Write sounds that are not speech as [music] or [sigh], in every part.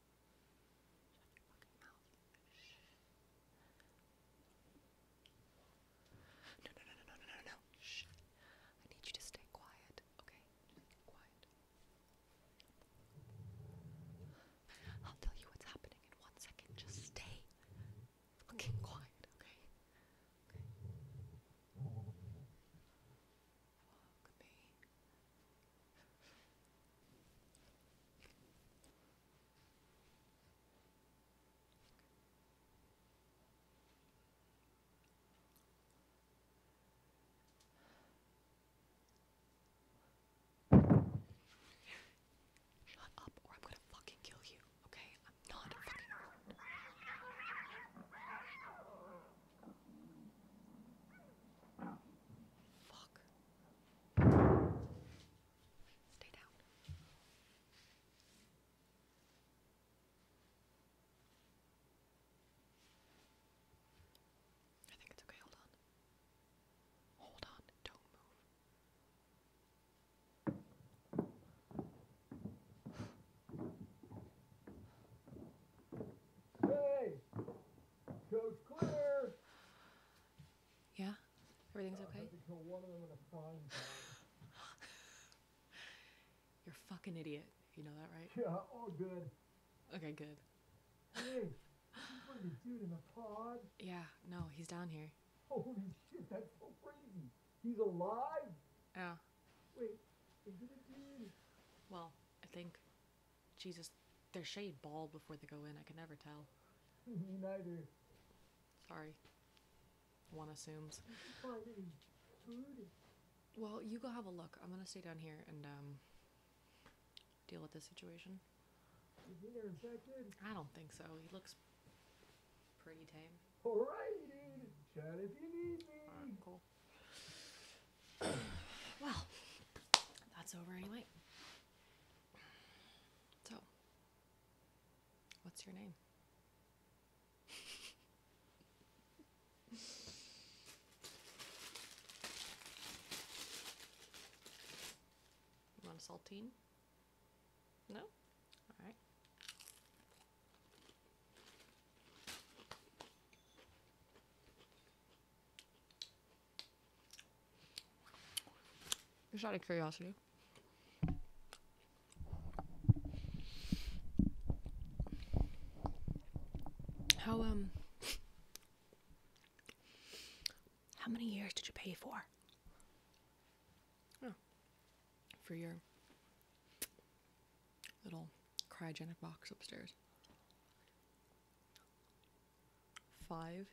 Shut No, no, no, no, no, no, no, Shh. I need you to stay quiet, okay? I'll tell you what's happening in one second. Just stay fucking quiet, okay? Okay. Shut up, or I'm gonna fucking kill you, okay? I'm not fucking Fuck. Stay down. I think it's okay, hold on. Hold on, don't move. Hey! Coach Clear! Yeah? Everything's okay? [laughs] You're a fucking idiot. You know that, right? Yeah, all good. Okay, good. Yeah, no, he's down here. Holy shit, that's so crazy. He's alive? Yeah. Wait, Well, I think. Jesus, they're shade bald before they go in. I can never tell. Me neither. Sorry. One assumes. Well, you go have a look. I'm gonna stay down here and um, deal with this situation. I don't think so. He looks pretty tame. Alrighty, dude. Shout if you need me. Right, cool. [coughs] well, that's over anyway. So, what's your name? [laughs] You want a saltine? No? Alright. Just out of curiosity. How um how many years did you pay for? Oh. For your little cryogenic box upstairs. Five.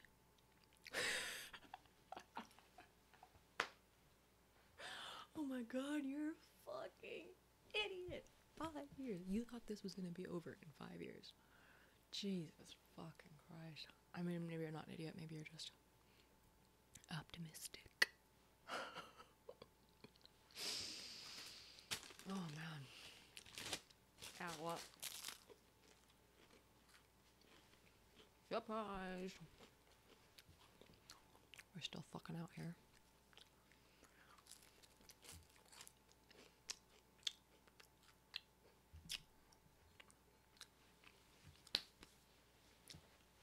[laughs] oh my god, you're a fucking idiot. Five years. You thought this was gonna be over in five years. Jesus fucking Christ. I mean, maybe you're not an idiot, maybe you're just optimistic. [laughs] oh man. What? Ow, Surprise! We're still fucking out here.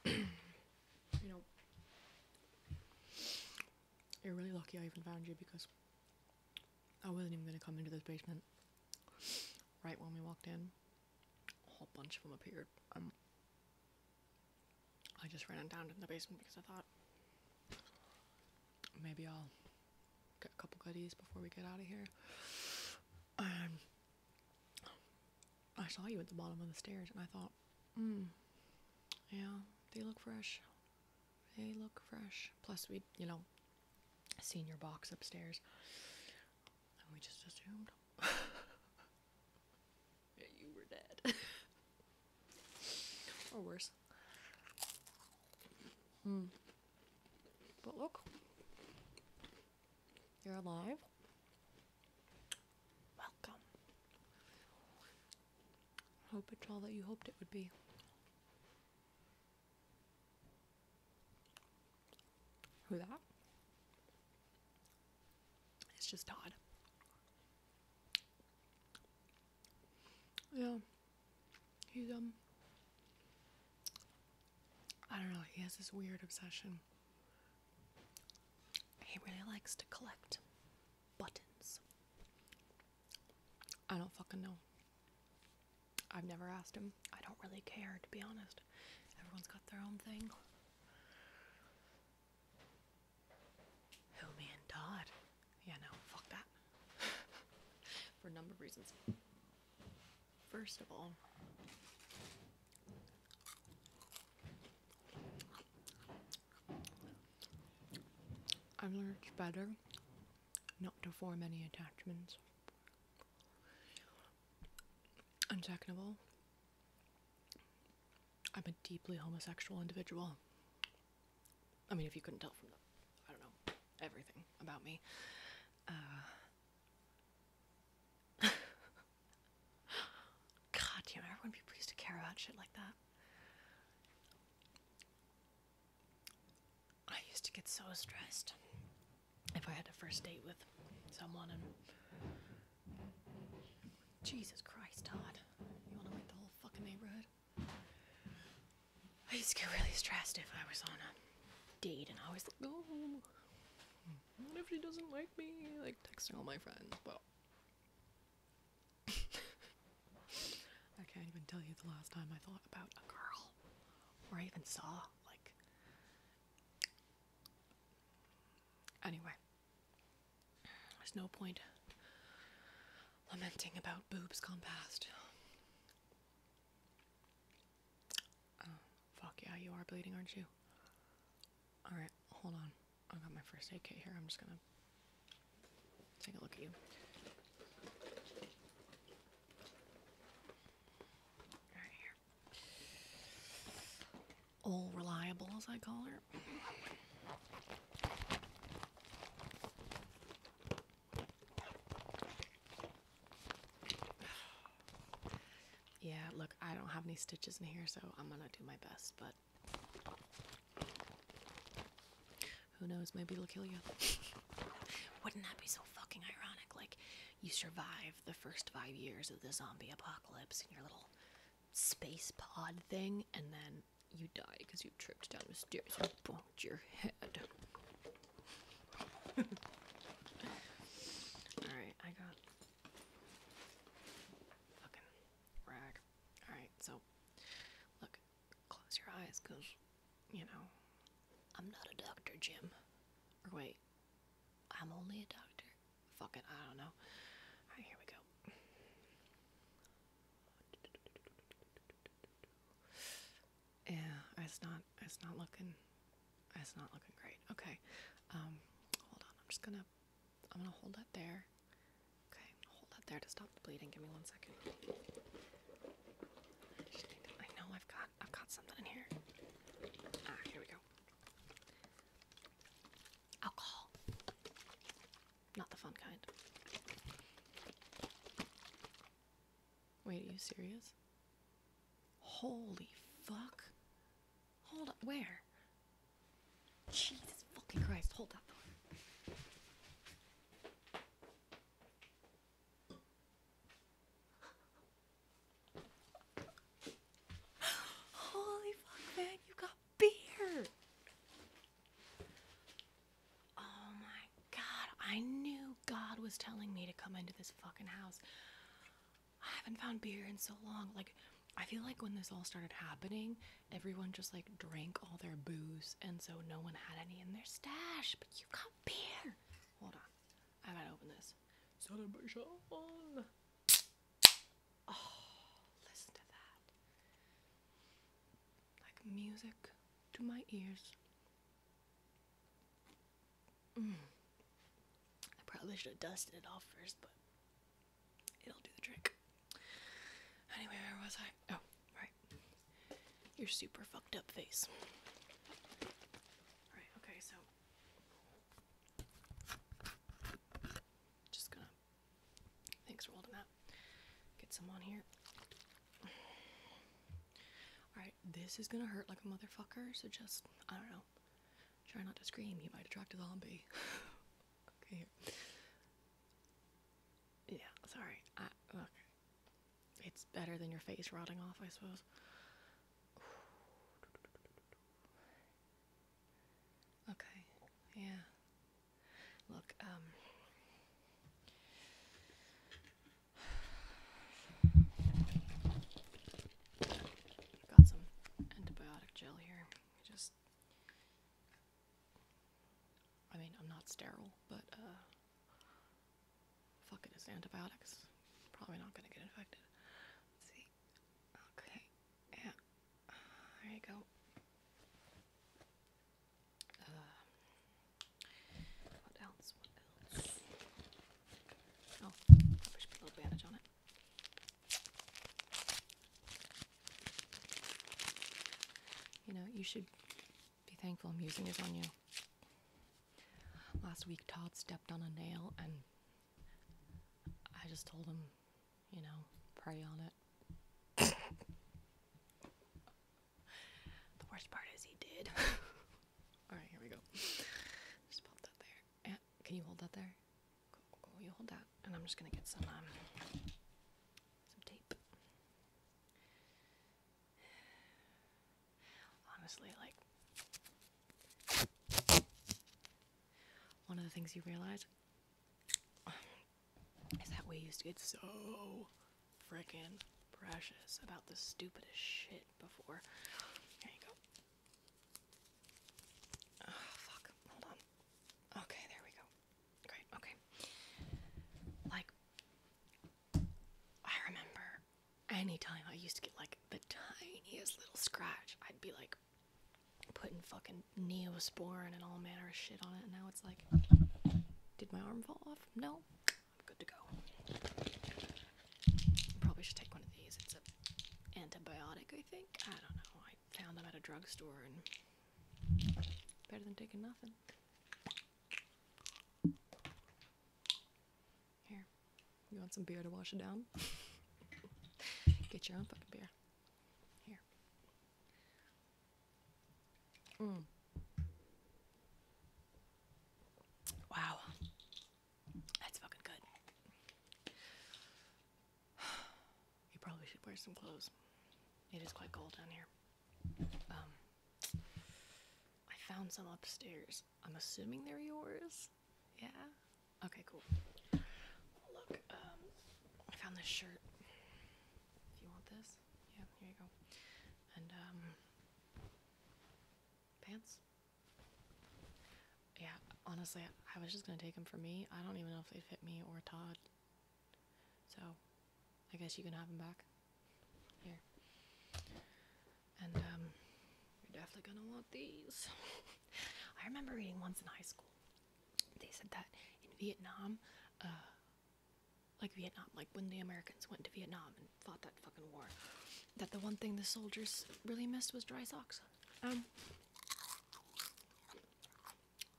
you know, you're really lucky I even found you because I wasn't even going to come into this basement. Right when we walked in, a whole bunch of them appeared. I just ran down to the basement because I thought maybe I'll get a couple goodies before we get out of here. I saw you at the bottom of the stairs and I thought, mm, yeah, they look fresh. They look fresh. Plus, we, you know, seen your box upstairs, and we just assumed [laughs] you were dead, [laughs] or worse. Hmm. But look, you're alive. Welcome. Hope it's all that you hoped it would be. Who that? It's just Todd. Yeah. He's um I don't know, he has this weird obsession. He really likes to collect buttons. I don't fucking know. I've never asked him. I don't really care, to be honest. Everyone's got their own thing. Who, me and Todd? Yeah, no, fuck that. [laughs] For a number of reasons. First of all, I'm allergic better not to form any attachments. And second of all, I'm a deeply homosexual individual. I mean, if you couldn't tell from the, I don't know, everything about me. Uh, [laughs] God damn, everyone be pleased to care about shit like that. I used to get so stressed if I had a first date with someone and Jesus Christ, Todd, you want to wake the whole fucking neighborhood? I used to get really stressed if I was on a date and I was like, oh, what if she doesn't like me? Like texting all my friends. Well, I can't even tell you the last time I thought about a girl or I even saw, like. Anyway, there's no point lamenting about boobs gone past. Oh, fuck yeah, you are bleeding, aren't you? Alright, hold on. i got my first aid kit here. I'm just gonna Take a look at you. All reliable, as I call her. [sighs] Yeah, look, I don't have any stitches in here, so I'm gonna do my best, but who knows? Maybe it'll kill you. [laughs] Wouldn't that be so fucking ironic? Like, you survive the first five years of the zombie apocalypse in your little space pod thing, and then you die because you tripped down the stairs and bonked your head. [laughs] Alright, I got fucking rag. Alright, so look, close your eyes because, you know, I'm not a doctor, Jim. Or wait, I'm only a doctor? Fuck it, I don't know. here we go. Yeah, it's not, it's not looking, it's not looking great. Okay, um, hold on, I'm just gonna, I'm gonna hold that there. Okay, hold that there to stop the bleeding. Give me one second. I, know I've got I've got something in here. Ah, here we go. Alcohol. Not the fun kind. Wait, are you serious? Holy fuck. Hold up, where? Jesus fucking Christ, hold up. Holy fuck, man, you got beer. Oh my god, I knew God was telling me to come into this fucking house. I haven't found beer in so long. Like, I feel like when this all started happening, everyone just like drank all their booze, and so no one had any in their stash. But you have got beer. Hold on, I gotta open this. Oh, listen to that. Like music to my ears. Mm. I probably should have dusted it off first, but it'll do the trick. Anyway, where was I? Oh, right. Your super fucked up face. Right, okay, so. Just gonna. Thanks for holding that. Get some on here. Alright, this is gonna hurt like a motherfucker, so just, I don't know. Try not to scream, you might attract a zombie. [laughs] okay, here. Yeah, sorry. look, it's better than your face rotting off, I suppose. Okay, yeah. Look, um. got some antibiotic gel here. Just I mean, I'm not sterile, but uh, fuck it's antibiotics. Probably not gonna get infected. see. Okay. Yeah. There you go. Uh, what else? Oh, I should put a little bandage on it. You know, you should be thankful i is on you. Last week, Todd stepped on a nail, and I just told him, you know, pray on it. the worst part is he did. [laughs] All right, here we go. Just pop that there. And can you hold that there? Cool, cool, you hold that, and I'm just gonna get some um, some tape. Honestly, like one of the things you realize is that we used to get so freaking precious about the stupidest shit before. There you go. Oh, fuck. Hold on. Okay, there we go. Great, okay. Like, I remember anytime I used to get like the tiniest little scratch, I'd be like putting fucking neosporin and all manner of shit on it, and now it's like, did my arm fall off? No, I'm good to go. Probably should take one of these. It's a antibiotic, I think. I don't know. I found them at a drugstore and Better than taking nothing. Here, you want some beer to wash it down? [laughs] Get your own fucking beer. Here. Mm. Wow. That's fucking good. [sighs] You probably should wear some clothes. It is quite cold down here. Um, I found some upstairs. I'm assuming they're yours. Yeah. Okay. Cool. Look, um, I found this shirt. If you want this, yeah, here you go. And um, pants. Yeah. Honestly, I was just gonna take them for me. I don't even know if they'd fit me or Todd. So I guess you can have them back. Here. And um, you're definitely gonna want these. [laughs] I remember reading once in high school. They said that in Vietnam, uh, like Vietnam, like when the Americans went to Vietnam and fought that fucking war, that the one thing the soldiers really missed was dry socks. Um,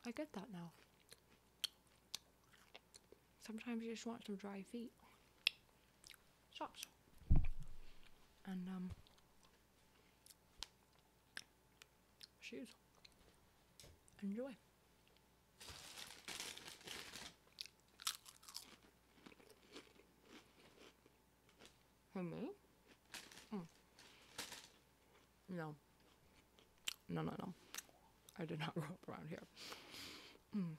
I get that now. Sometimes you just want some dry feet. Shops. And, um, shoes. Enjoy. For me? Hmm. No. No, no, no. I did not [laughs] grow up around here. Mm.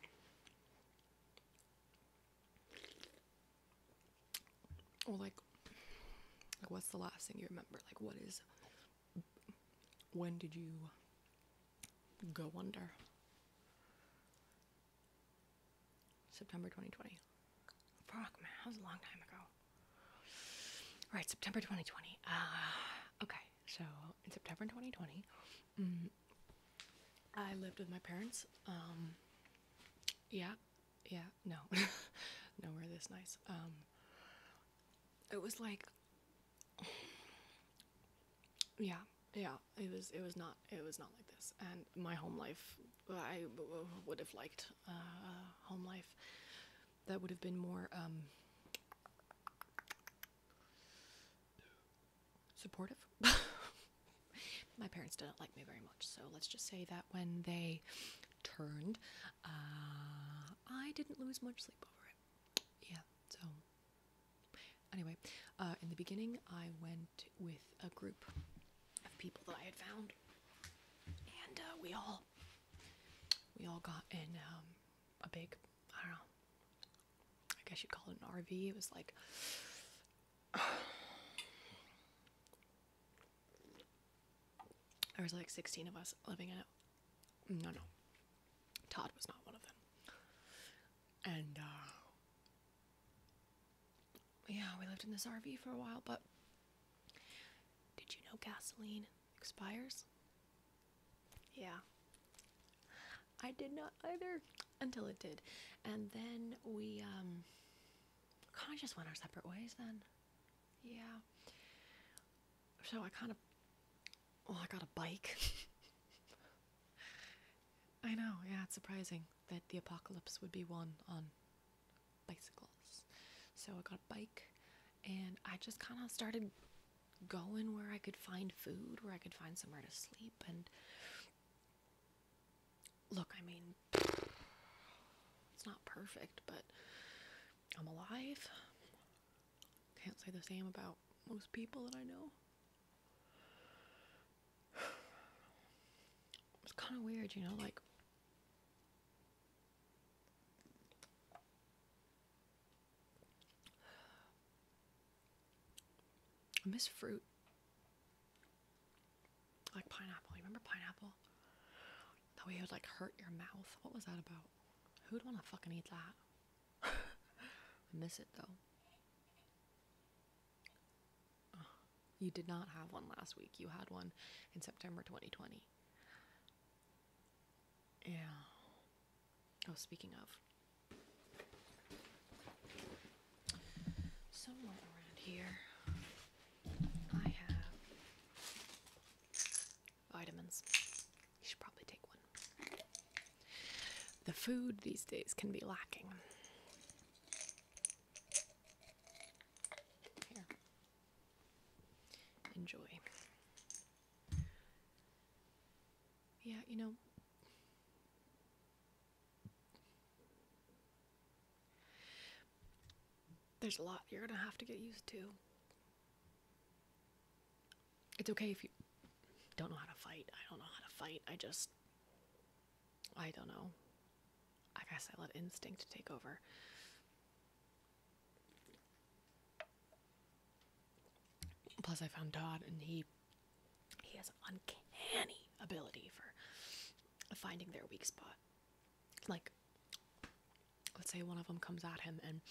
Well, like, what's the last thing you remember? Like, what is. When did you go under? September 2020. Fuck, man, that was a long time ago. Right, September 2020. Ah, okay, so in September 2020, mm, I lived with my parents. Um, yeah, yeah, no, [laughs] nowhere this nice. Um, it was like, yeah, yeah, it was, it was not, it was not like this. And my home life, I would have liked uh, home life that would have been more um, supportive. [laughs] My parents didn't like me very much, so let's just say that when they turned, uh, I didn't lose much sleep over it. Yeah, so anyway, uh, in the beginning, I went with a group of people that I had found, and uh, we all we all got in um, a big, I don't know, I guess you'd call it an RV. It was like, there was like 16 of us living in it. No, no. Todd was not one of them. And, uh, yeah, we lived in this RV for a while, but did you know gasoline expires? Yeah. I did not either until it did. And then we um kind of just went our separate ways then. Yeah. So I kind of well, I got a bike. [laughs] I know, yeah, it's surprising that the apocalypse would be won on bicycles. So I got a bike and I just kind of started going where I could find food, where I could find somewhere to sleep. And look, I mean, it's not perfect, but I'm alive. Can't say the same about most people that I know. It's kind of weird, you know, like I miss fruit. Like pineapple. remember pineapple? That way it would like hurt your mouth. What was that about? Who'd want to fucking eat that? [laughs] I miss it though. you did not have one last week. You had one in September 2020. Yeah. Oh, speaking of. Somewhere around here, I have vitamins. You should probably take one. The food these days can be lacking. Here enjoy. Yeah, you know, there's a lot you're going to have to get used to. It's okay if you don't know how to fight. I don't know how to fight. I just, I don't know. I guess I let instinct take over. Plus, I found Todd, and he he has an uncanny ability for finding their weak spot. Like, let's say one of them comes at him, and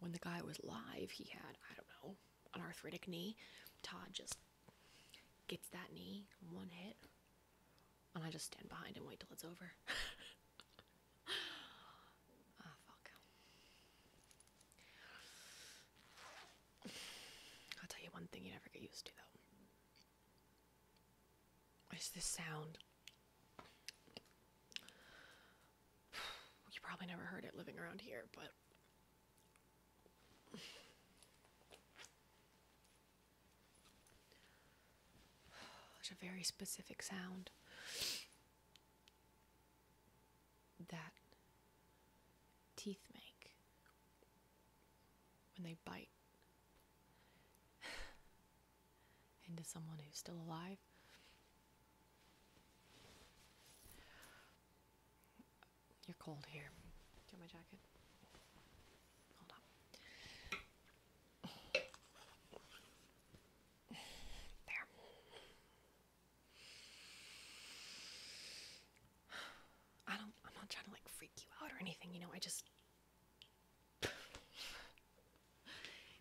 when the guy was live, he had I don't know an arthritic knee. Todd just gets that knee one hit and I just stand behind and wait till it's over. [laughs] Ah, fuck. I'll tell you one thing you never get used to, though. It's this sound. You probably never heard it living around here, but. There's a very specific sound that teeth make when they bite [sighs] into someone who's still alive. You're cold here. Do my jacket? Hold on. There. I don't I'm not trying to like freak you out or anything, you know, I just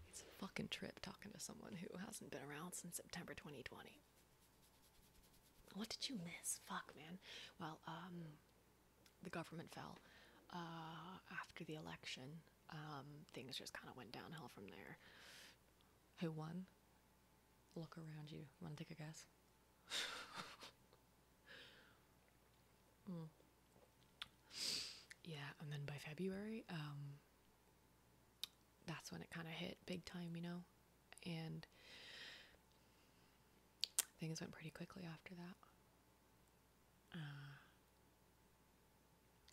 It's a fucking trip talking to someone who hasn't been around since September 2020. What did you miss? Fuck, man. Well, um the government fell uh, after the election. Um, things just kind of went downhill from there. Who won? Look around you. Want to take a guess? [laughs] Hmm. Yeah, and then by February, um, that's when it kind of hit big time, you know? And things went pretty quickly after that. Uh,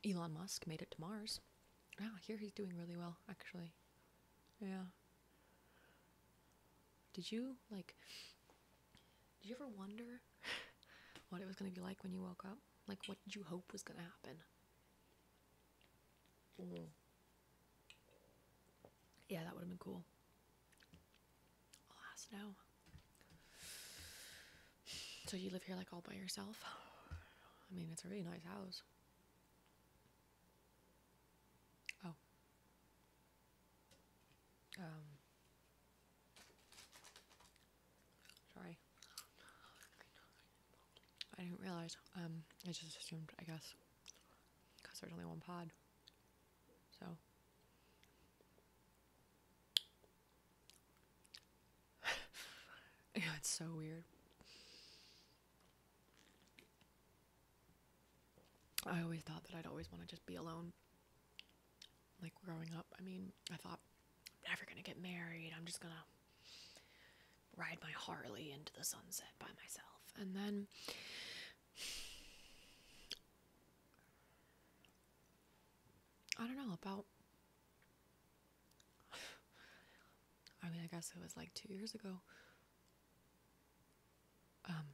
Elon Musk made it to Mars. Wow, ah, oh, here he's doing really well, actually. Yeah. Did you, like, did you ever wonder [laughs] what it was going to be like when you woke up? Like, what did you hope was going to happen? Mm. Yeah, that would have been cool. Alas, So you live here like all by yourself? I mean, it's a really nice house. Oh. Um. Sorry. I didn't realize. Um, I just assumed, I guess, because there's only one pod. So. [sighs] it's so weird. I always thought that I'd always want to just be alone. Like growing up, I mean, I thought I'm never going to get married. I'm just going to ride my Harley into the sunset by myself. And then I don't know, about I mean, I guess it was like 2 years ago. Um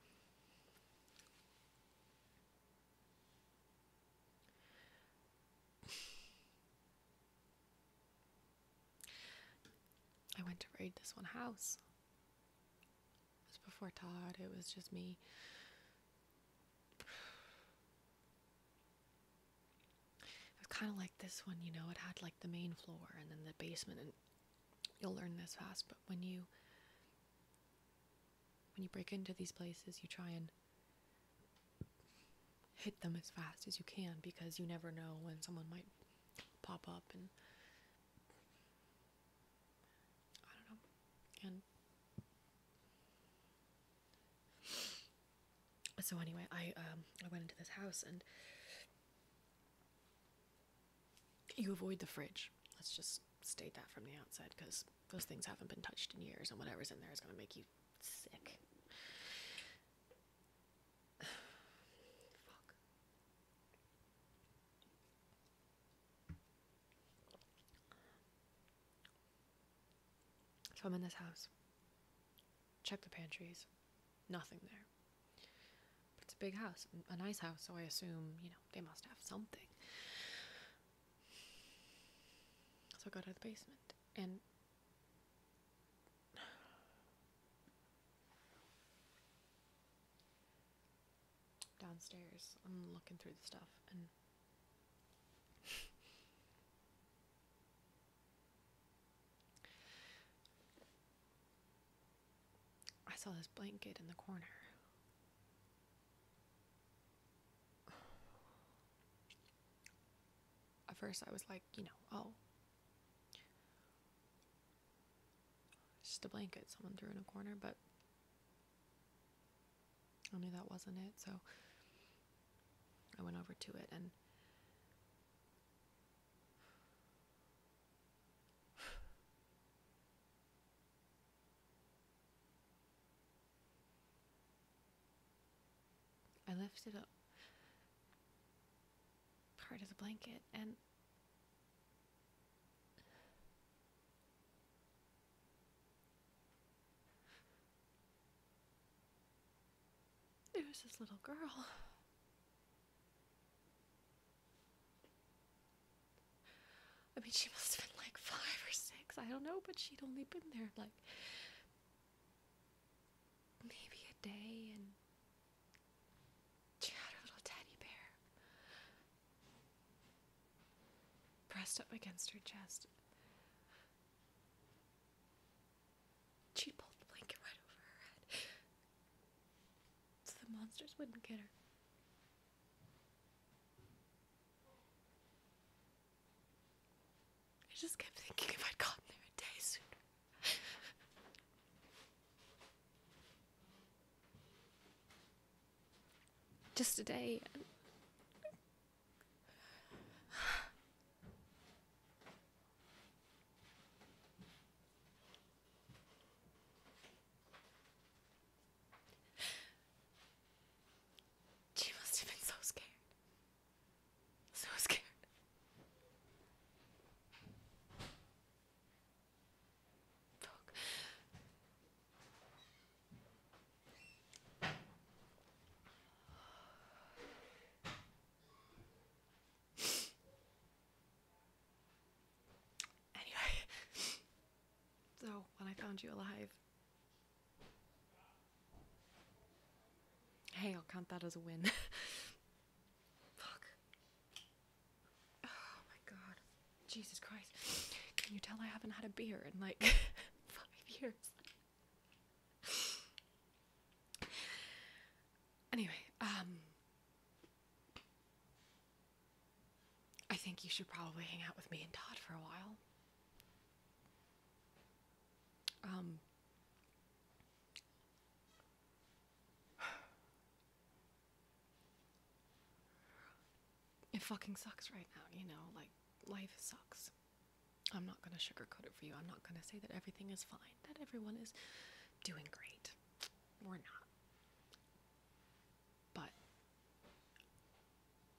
I went to raid this one house. It was before Todd, it was just me. It was kind of like this one, you know, it had like the main floor and then the basement and you'll learn this fast, but when you when you break into these places, you try and hit them as fast as you can because you never know when someone might pop up and I don't know. And so anyway, I um I went into this house and you avoid the fridge. Let's just state that from the outset because those things haven't been touched in years and whatever's in there is going to make you sick. [sighs] So I'm in this house. Check the pantries. Nothing there. it's a big house, a nice house, so I assume, you know, they must have something. So I go to the basement and downstairs. I'm looking through the stuff and I saw this blanket in the corner. At first, I was like, you know, oh, just a blanket someone threw in a corner, but I knew that wasn't it, so I went over to it and I lifted up part of the blanket and it was this little girl. I mean, she must have been like five or six. I don't know, but she'd only been there like maybe a day, and she had her little teddy bear pressed up against her chest. She pulled the blanket right over her head so the monsters wouldn't get her. I just kept thinking if I'd gotten there a day sooner just today. [sighs] She must have been so scared. So scared. Fuck. Anyway, so when I found you alive. Hey, I'll count that as a win. [laughs] Fuck. Oh my god. Jesus Christ. Can you tell I haven't had a beer in like [laughs] five years? Anyway, um. I think you should probably hang out with me and Todd for a while. Um. It fucking sucks right now, you know, like life sucks. I'm not going to sugarcoat it for you. I'm not going to say that everything is fine, that everyone is doing great. We're not. But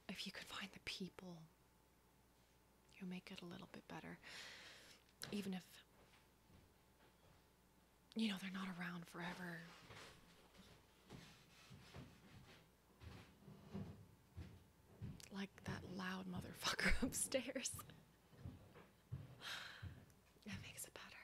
if you could find the people you'll make it a little bit better, even if you know, they're not around forever. Like that loud motherfucker [laughs] upstairs. [sighs] that makes it better.